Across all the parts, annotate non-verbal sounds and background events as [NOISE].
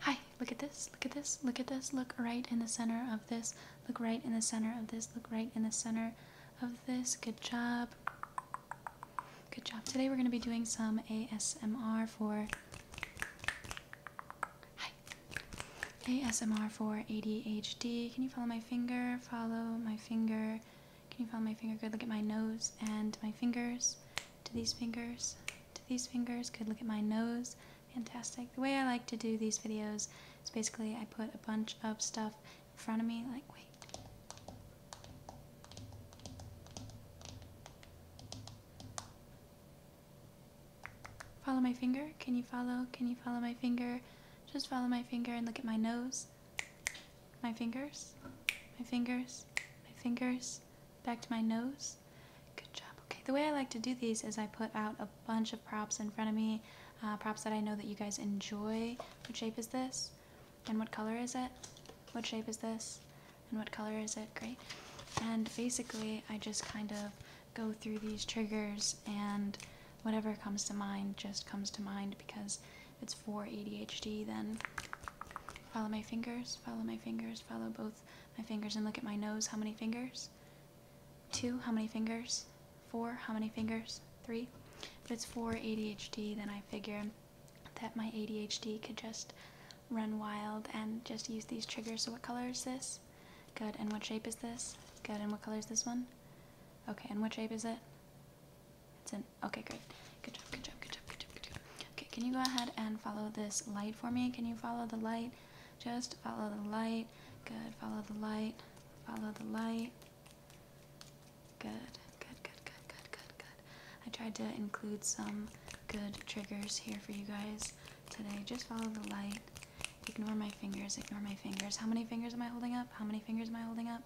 Hi, look at this, look at this, look at this, look right in the center of this, look right in the center of this, look right in the center of this. Good job. Good job. Today we're going to be doing some ASMR for. ASMR for ADHD. Can you follow my finger? Follow my finger. Can you follow my finger? Good. Look at my nose and my fingers to these fingers, to these fingers. Good. look at my nose. Fantastic. The way I like to do these videos is basically I put a bunch of stuff in front of me, like, wait. Follow my finger. Can you follow? Can you follow my finger? Just follow my finger and look at my nose. My fingers. My fingers. My fingers back to my nose. Good job. Okay, the way I like to do these is I put out a bunch of props in front of me, uh, props that I know that you guys enjoy. What shape is this? And what color is it? What shape is this? And what color is it? Great. And basically, I just kind of go through these triggers and whatever comes to mind just comes to mind because it's for ADHD, then follow my fingers follow my fingers, follow both my fingers, and look at my nose. How many fingers? Two. How many fingers? Four. How many fingers? Three. If it's four ADHD, then I figure that my ADHD could just run wild and just use these triggers. So what color is this? Good. And what shape is this? Good. And what color is this one? Okay. And what shape is it? It's an... Okay, great. Good job, good job, good job, good job, good job. Okay, can you go ahead and follow this light for me? Can you follow the light? Just follow the light. Good, follow the light. Follow the light. Good, good, good, good, good, good, good. I tried to include some good triggers here for you guys today. Just follow the light. Ignore my fingers, ignore my fingers. How many fingers am I holding up? How many fingers am I holding up?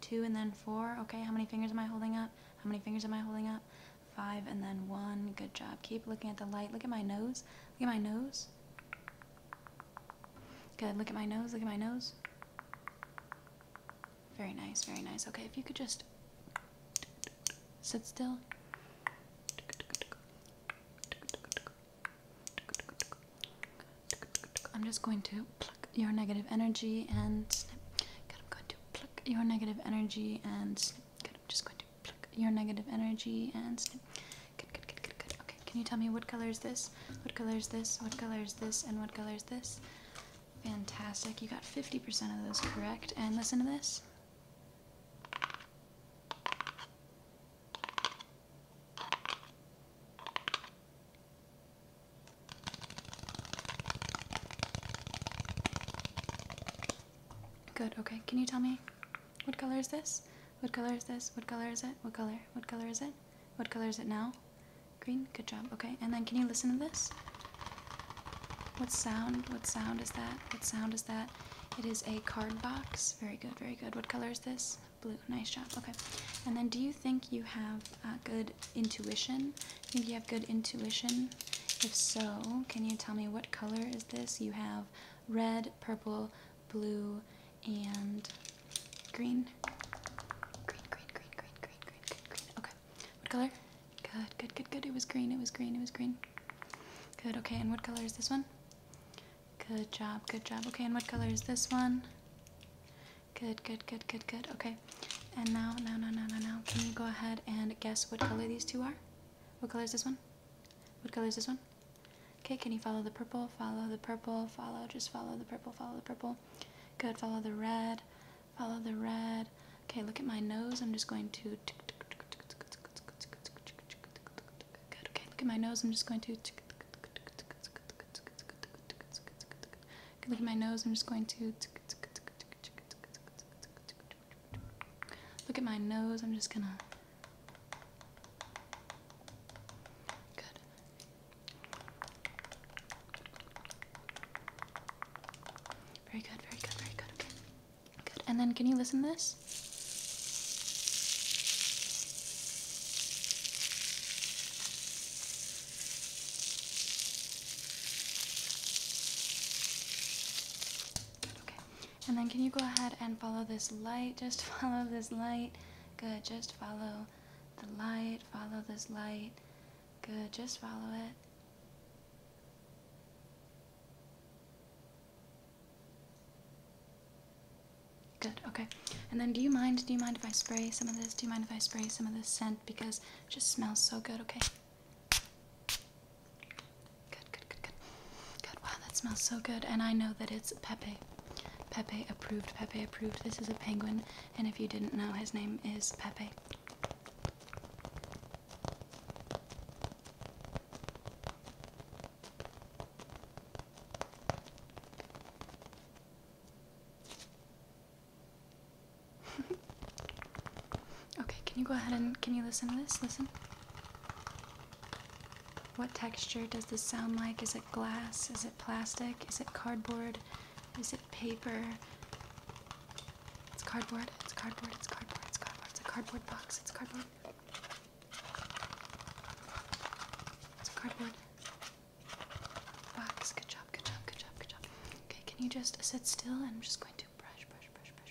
Two and then four. Okay, how many fingers am I holding up? How many fingers am I holding up? Five and then one. Good job. Keep looking at the light. Look at my nose. Look at my nose. Good. Look at my nose. Look at my nose. Very nice. Very nice. Okay, if you could just sit still. I'm just going to pluck your negative energy and pluck your negative energy and snip. Good. I'm just going to pluck your negative energy and snip. Good, good, good, good, good. Okay, can you tell me what color is this? What color is this? What color is this? And what color is this? Fantastic. You got 50% of those correct. And listen to this. Good, okay. Can you tell me what color is this? What color is this? What color is it? What color? What color is it? What color is it now? Green? Good job. Okay, and then can you listen to this? What sound? What sound is that? What sound is that? It is a card box. Very good, very good. What color is this? Blue. Nice job. Okay. And then do you think you have uh, good intuition? I think you have good intuition. If so, can you tell me what color is this? You have red, purple, blue, and green. Green, green, green, green, green, green, green, green. Okay. What color? Good, good, good, good. It was green, it was green, it was green. Good, okay. And what color is this one? Good job, good job. Okay, and what color is this one? Good, good, good, good, good. Okay. Okay. And now, now, now, now, now, now, can you go ahead and guess what color these two are? What color is this one? What color is this one? Okay, can you follow the purple? Follow the purple. Follow, just follow the purple. Follow the purple. Good. Follow the red. Follow the red. Okay, look at my nose. I'm just going to. Good. Okay, look at my nose. I'm just going to. Good. Look at my nose. I'm just going to. Look at my nose. I'm just gonna. Good. Very good, very good, very good. Okay. Good. And then can you listen to this? okay. And then can you go ahead and follow this light? [LAUGHS] Just follow this light. Good, just follow the light. Follow this light. Good, just follow it. Good, okay. And then do you mind, do you mind if I spray some of this? Do you mind if I spray some of this scent? Because it just smells so good, okay? Good, good, good, good. Good. Wow, that smells so good. And I know that it's Pepe. Pepe approved. Pepe approved. This is a penguin. And if you didn't know, his name is Pepe. [LAUGHS] okay, can you go ahead and can you listen to this? Listen. What texture does this sound like? Is it glass? Is it plastic? Is it cardboard? Is it paper? It's cardboard. It's cardboard. It's cardboard. It's cardboard. It's a cardboard box. It's cardboard. It's a cardboard box. Good job. Good job. Good job. Good job. Okay, can you just sit still? I'm just going to brush, brush, brush, brush.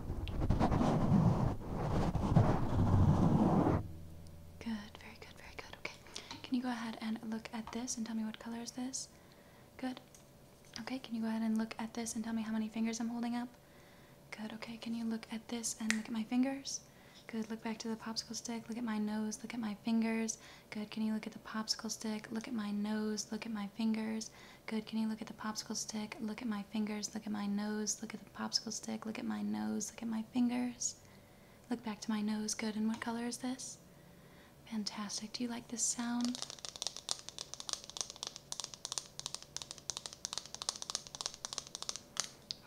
Good, very good, very good. Okay. Can you go ahead and look at this and tell me what color is this? Good. Okay, can you go ahead and look at this and tell me how many fingers I'm holding up? Good, okay. Can you look at this and look at my fingers? Good, look back to the popsicle stick, look at my nose, look at my fingers. Good, can you look at the popsicle stick, look at my nose, look at my fingers? Good. Can you look at the popsicle stick? Look at my fingers. Look at my nose. Look at the popsicle stick. Look at my nose. Look at my fingers. Look back to my nose. Good. And what color is this? Fantastic. Do you like this sound?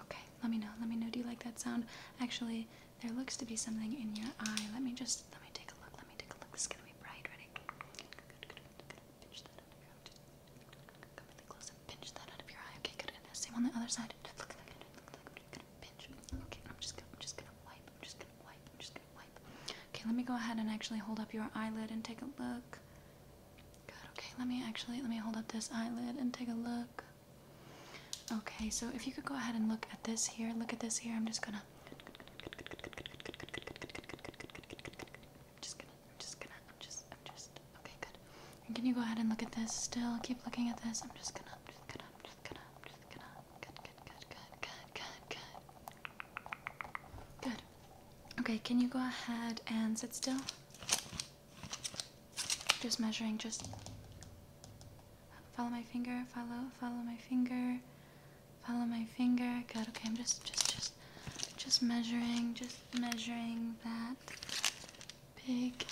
Okay. Let me know. Let me know. Do you like that sound? Actually, there looks to be something in your eye. Let me just let me take a look. Let me take a look. This is gonna be bright. Ready? Good. Good. Good. good. Pinch that underground. Come really close pinch that out of your eye. Okay, good. same on the other side. Look like Look I'm gonna pinch. Okay, I'm just gonna, I'm just gonna wipe. I'm just gonna wipe. I'm just gonna wipe. Okay, let me go ahead and actually hold up your eyelid and take a look. Good. Okay, let me actually let me hold up this eyelid and take a look. Okay, so if you could go ahead and look at this here, look at this here. I'm just gonna. I'm just gonna, I'm just gonna, I'm just, I'm just, okay, good. And can you go ahead and look at this still? Keep looking at this. I'm just gonna, I'm just gonna, I'm just gonna, I'm just gonna, good, good, good, good, good, good, good. Good. Okay, can you go ahead and sit still? Just measuring, just follow my finger, follow, follow my finger. Follow my finger. Good. Okay, I'm just, just, just, just measuring, just measuring that big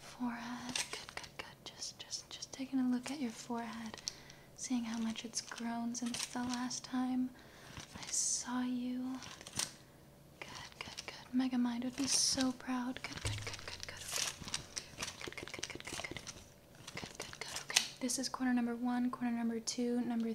forehead. Good, good, good. Just, just, just taking a look at your forehead, seeing how much it's grown since the last time I saw you. Good, good, good. Megamind would be so proud. Good, good, good, good, good. Okay. Good, good, good, good, good, good. Good, good, good. Okay. This is corner number one, corner number two, number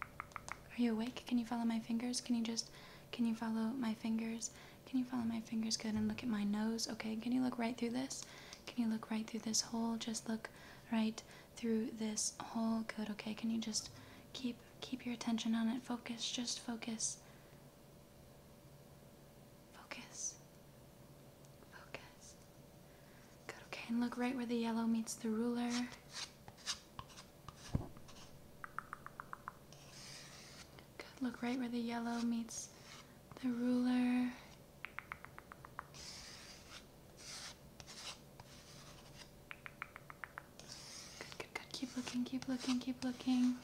Are you awake? Can you follow my fingers? Can you just, can you follow my fingers? Can you follow my fingers? Good. And look at my nose. Okay. Can you look right through this? Can you look right through this hole? Just look right through this hole. Good. Okay. Can you just keep, keep your attention on it? Focus. Just focus. Focus. Focus. Good, okay, and look right where the yellow meets the ruler. Good, look right where the yellow meets the ruler. Good, good, good. Keep looking, keep looking, keep looking.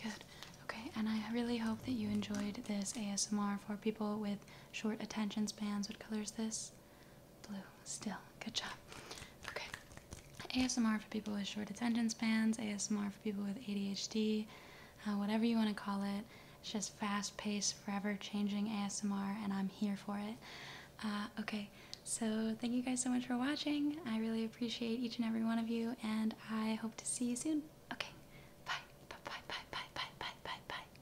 Good. Okay, and I really hope that you enjoyed this ASMR for people with short attention spans. What color is this? Blue, still. Good job. Okay. ASMR for people with short attention spans, ASMR for people with ADHD, uh, whatever you want to call it. It's just fast paced, forever changing ASMR, and I'm here for it. Uh, okay, so thank you guys so much for watching. I really appreciate each and every one of you, and I hope to see you soon. Okay, bye, bye, bye, bye, bye, bye, bye, bye.